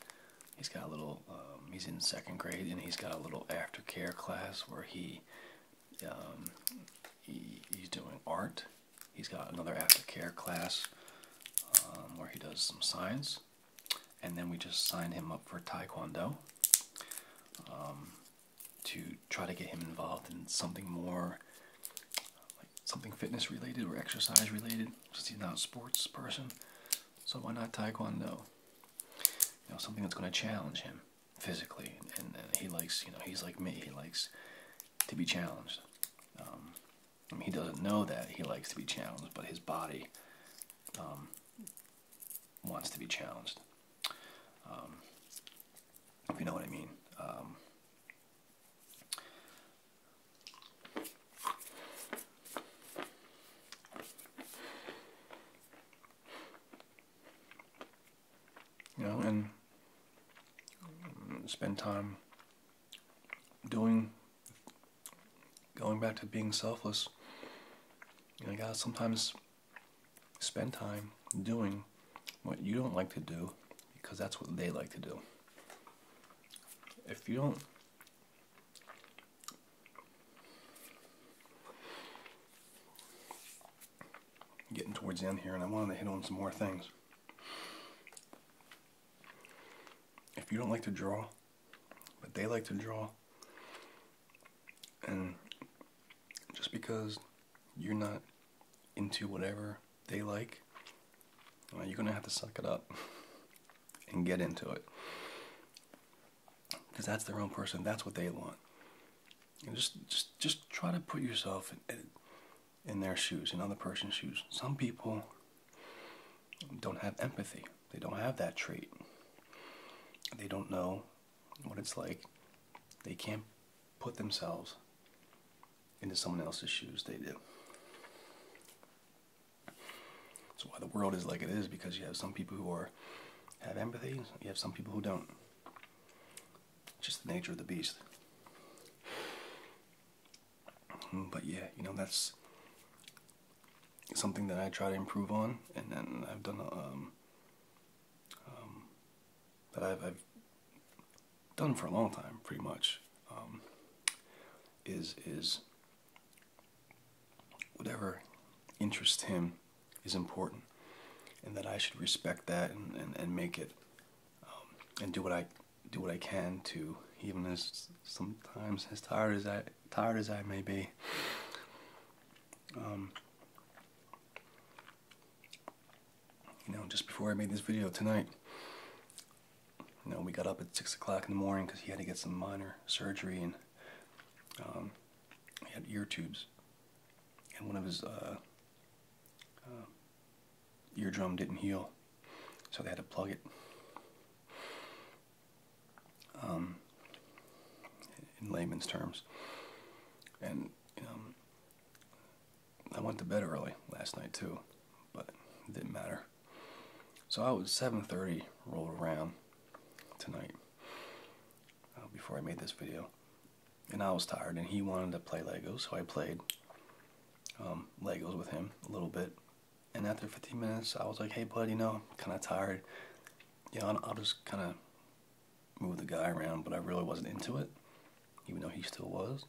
Speaker 1: He's got a little, um, he's in second grade, and he's got a little aftercare class where he, um, he's doing art. He's got another aftercare class um, where he does some science, and then we just signed him up for taekwondo um, to try to get him involved in something more like something fitness related or exercise related since he's not a sports person so why not Taekwondo? You know, something that's going to challenge him physically, and, he likes, you know, he's like me. He likes to be challenged. Um, I mean, he doesn't know that he likes to be challenged, but his body um, wants to be challenged. Um, if you know what I mean and spend time doing, going back to being selfless. you gotta sometimes spend time doing what you don't like to do because that's what they like to do. If you don't Getting towards the end here, and I wanted to hit on some more things. If you don't like to draw, but they like to draw, and just because you're not into whatever they like, you're going to have to suck it up and get into it because that's their own person. That's what they want. And just, just, just try to put yourself in, their shoes, in other person's shoes. Some people don't have empathy. They don't have that trait. They don't know what it's like. They can't put themselves into someone else's shoes. They do. That's why the world is like it is because you have some people who are have empathy, you have some people who don't. Just the nature of the beast. Hmm, but yeah, you know that's something that I try to improve on, and then I've done um, um, that I've, I've done for a long time, pretty much. Um, is is whatever interests him is important, and that I should respect that and, make it um, and do what I do what I can to, even as sometimes as tired as I tired as I may be. Um, you know, just before I made this video tonight, you know, we got up at six o'clock in the morning because he had to get some minor surgery and um, he had ear tubes, and one of his uh, uh, eardrum didn't heal, so they had to plug it. Um, in layman's terms, and um, I went to bed early last night too, but it didn't matter. So I was 7:30 rolled around tonight uh, before I made this video, and I was tired. And he wanted to play Legos, so I played um, Legos with him a little bit. And after 15 minutes, I was like, "Hey, buddy, you know, kind of tired. You know, I'll, I'll just kind of move the guy around." But I really wasn't into it, even though he still was.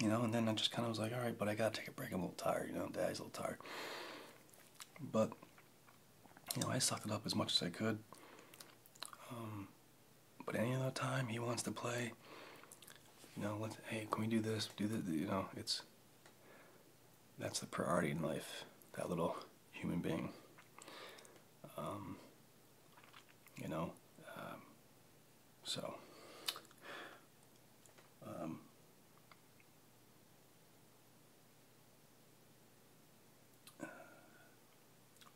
Speaker 1: You know, and then I just kind of was like, "All right, but I gotta take a break. I'm a little tired. You know, Dad's a little tired." But you know, I sucked it up as much as I could. Um, but any other time he wants to play, you know, let's hey, can we do this? Do this? You know, it's that's the priority in life. That little human being. Um, you know, um, so.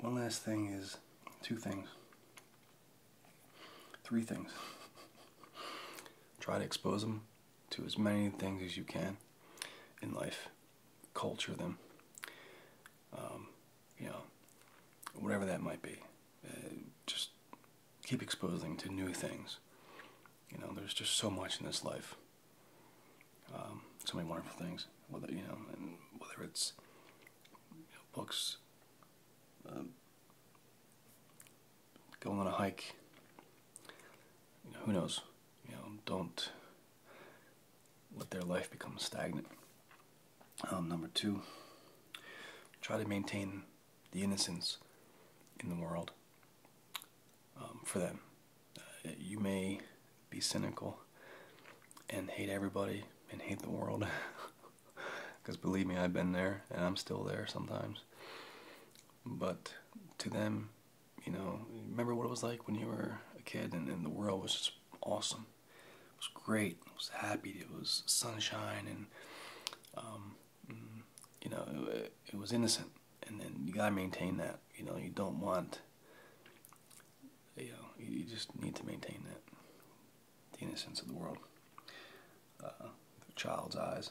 Speaker 1: One last thing is two things, three things. Try to expose them to as many things as you can in life, culture them, um, you know, whatever that might be. Uh, just keep exposing to new things. You know, there's just so much in this life. Um, so many wonderful things. Whether you know, whether it's you know, books, um, going on a hike. who knows? You know, don't let their life become stagnant. Um, number two, try to maintain the innocence in the world. Um, for them. Uh, you may be cynical and hate everybody and hate the world. Because believe me, I've been there and I'm still there sometimes. But to them, you know, remember what it was like when you were a kid and, the world was just awesome. It was great. It was happy. It was sunshine and um, you know, it, was innocent, and then you gotta maintain that. You know, you don't want, you know, you, just need to maintain that, the innocence of the world, uh, the child's eyes,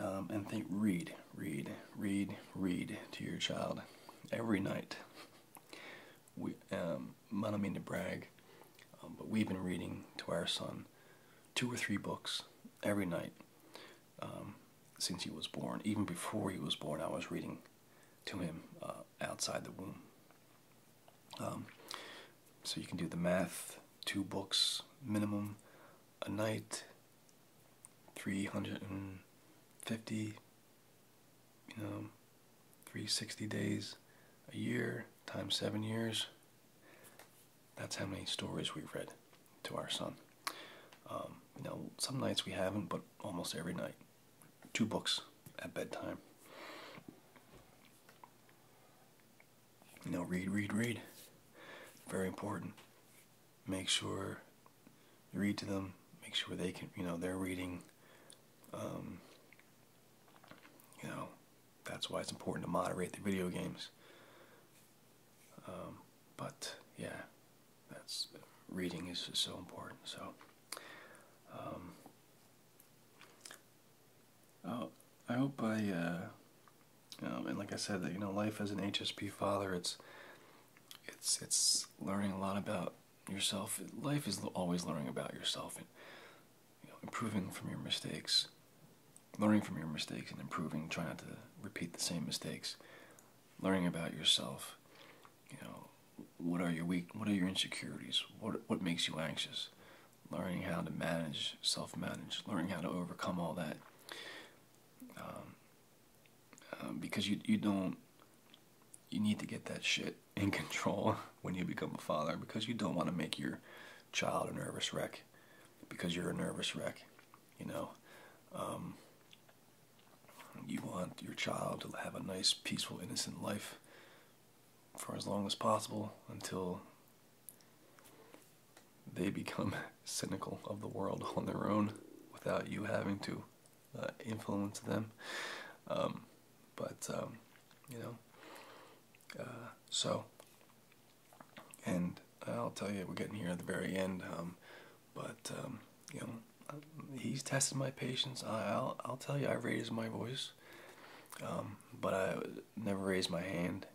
Speaker 1: um, and think, read, read, read, read to your child every night. We, um, I don't mean to brag, um, but we've been reading to our son two or three books every night um, since he was born. Even before he was born, I was reading to him uh, outside the womb. Um, so you can do the math, two books minimum a night, 350, you know, 360 days a year times seven years. That's how many stories we've read to our son. Um, you know, some nights we haven't, but almost every night. Two books at bedtime. You know, read, read, read. Very important. Make sure you read to them. Make sure they can, you know, they're reading. Um, you know, that's why it's important to moderate the video games. Um, but yeah, that's reading is so important. So, um, oh, I hope I, uh, and like I said, that you know, life as an HSP father, it's it's it's learning a lot about yourself. Life is always learning about yourself and improving from your mistakes learning from your mistakes and improving, try not to repeat the same mistakes, learning about yourself, you know, what are your weak, what are your insecurities, what, what makes you anxious, learning how to manage, self-manage, learning how to overcome all that, um, um, because you, you don't, you need to get that shit in control when you become a father because you don't want to make your child a nervous wreck because you're a nervous wreck. You know, um, you want your child to have a nice, peaceful, innocent life for as long as possible until they become cynical of the world on their own without you having to uh, influence them. Um, but, um, you know, uh, so, and I'll tell you, we're getting here at the very end, um, but um, you know, he's tested my patience. I'll I'll tell you, I raised my voice, um, but I never raised my hand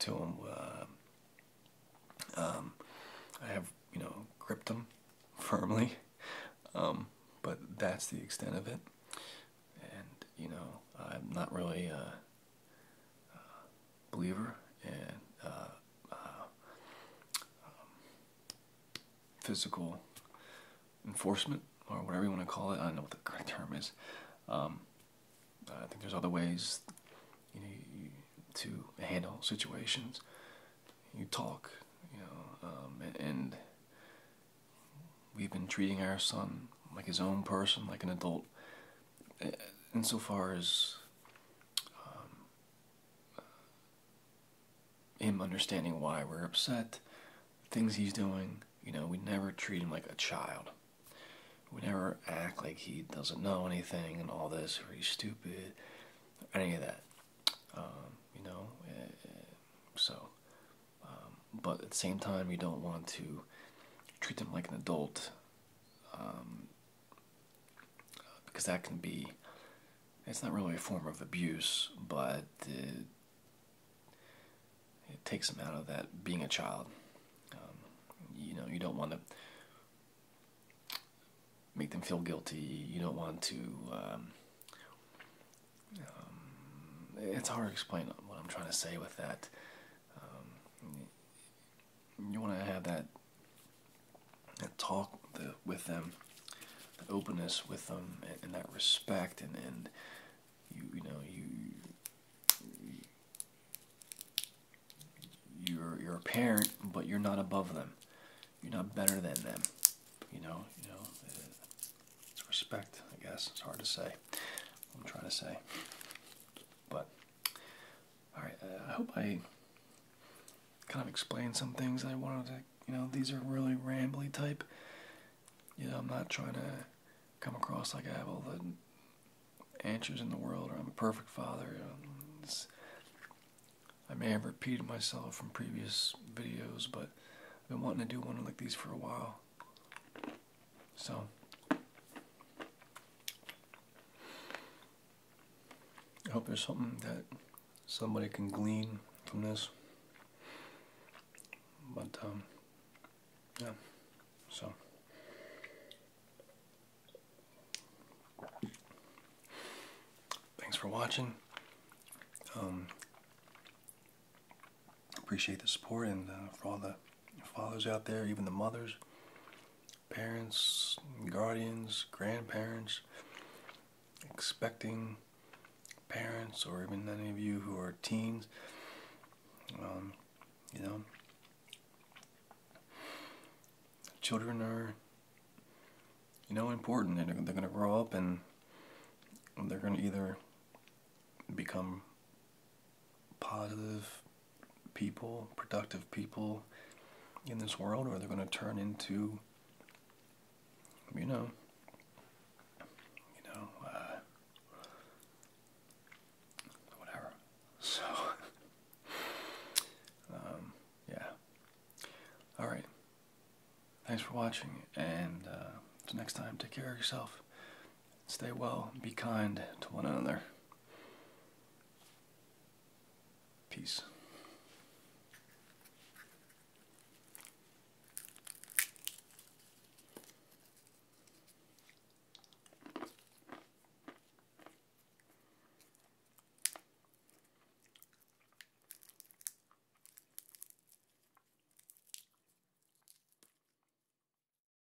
Speaker 1: to him. Uh, I have you know gripped him firmly, but that's the extent of it. And you know, I'm not really uh, uh, believer and uh, uh, um, physical enforcement or whatever you want to call it. I don't know what the correct term is. Um, I think there's other ways to handle situations. You talk, you know, um, and we've been treating our son like his own person, like an adult. In so far as um, him understanding why we're upset, things he's doing, you know, we never treat him like a child. We never act like he doesn't know anything and all this, or he's stupid, or any of that. Um, you know, eh, eh, so um, um, but at the same time, you don't want to treat them like an adult um, because that can be it's not really a form of abuse, but it, takes them out of that being a child. Um, you know, you don't want to make them feel guilty. You don't want to. it's hard to explain what I'm trying to say with that. Um, you want to have that, that talk with them, the openness with them, and, that respect, and, and you you know you. You're, you're a parent, but you're not above them. You're not better than them. You know, you know. It's respect, I guess. It's hard to say. I'm trying to say. But all right, uh, I hope I kind of explained some things I wanted to. You know, these are really rambly type. You know, I'm not trying to come across like I have all the answers in the world, or I'm a perfect father. I may have repeated myself from previous videos, but I've been wanting to do one like these for a while. So I hope there's something that somebody can glean from this. But um yeah. So thanks for watching. Um appreciate the support and uh, for all the fathers out there, even the mothers, parents, guardians, grandparents, expecting parents, or even any of you who are teens. Um, you know, children are, you know, important. and they're going to grow up and they're going to either become positive people, productive people in this world, or they're going to turn into, you know, you know, uh, whatever. So, um, yeah. All right. Thanks for watching, and uh, next time, take care of yourself. Stay well, be kind to one another. Peace.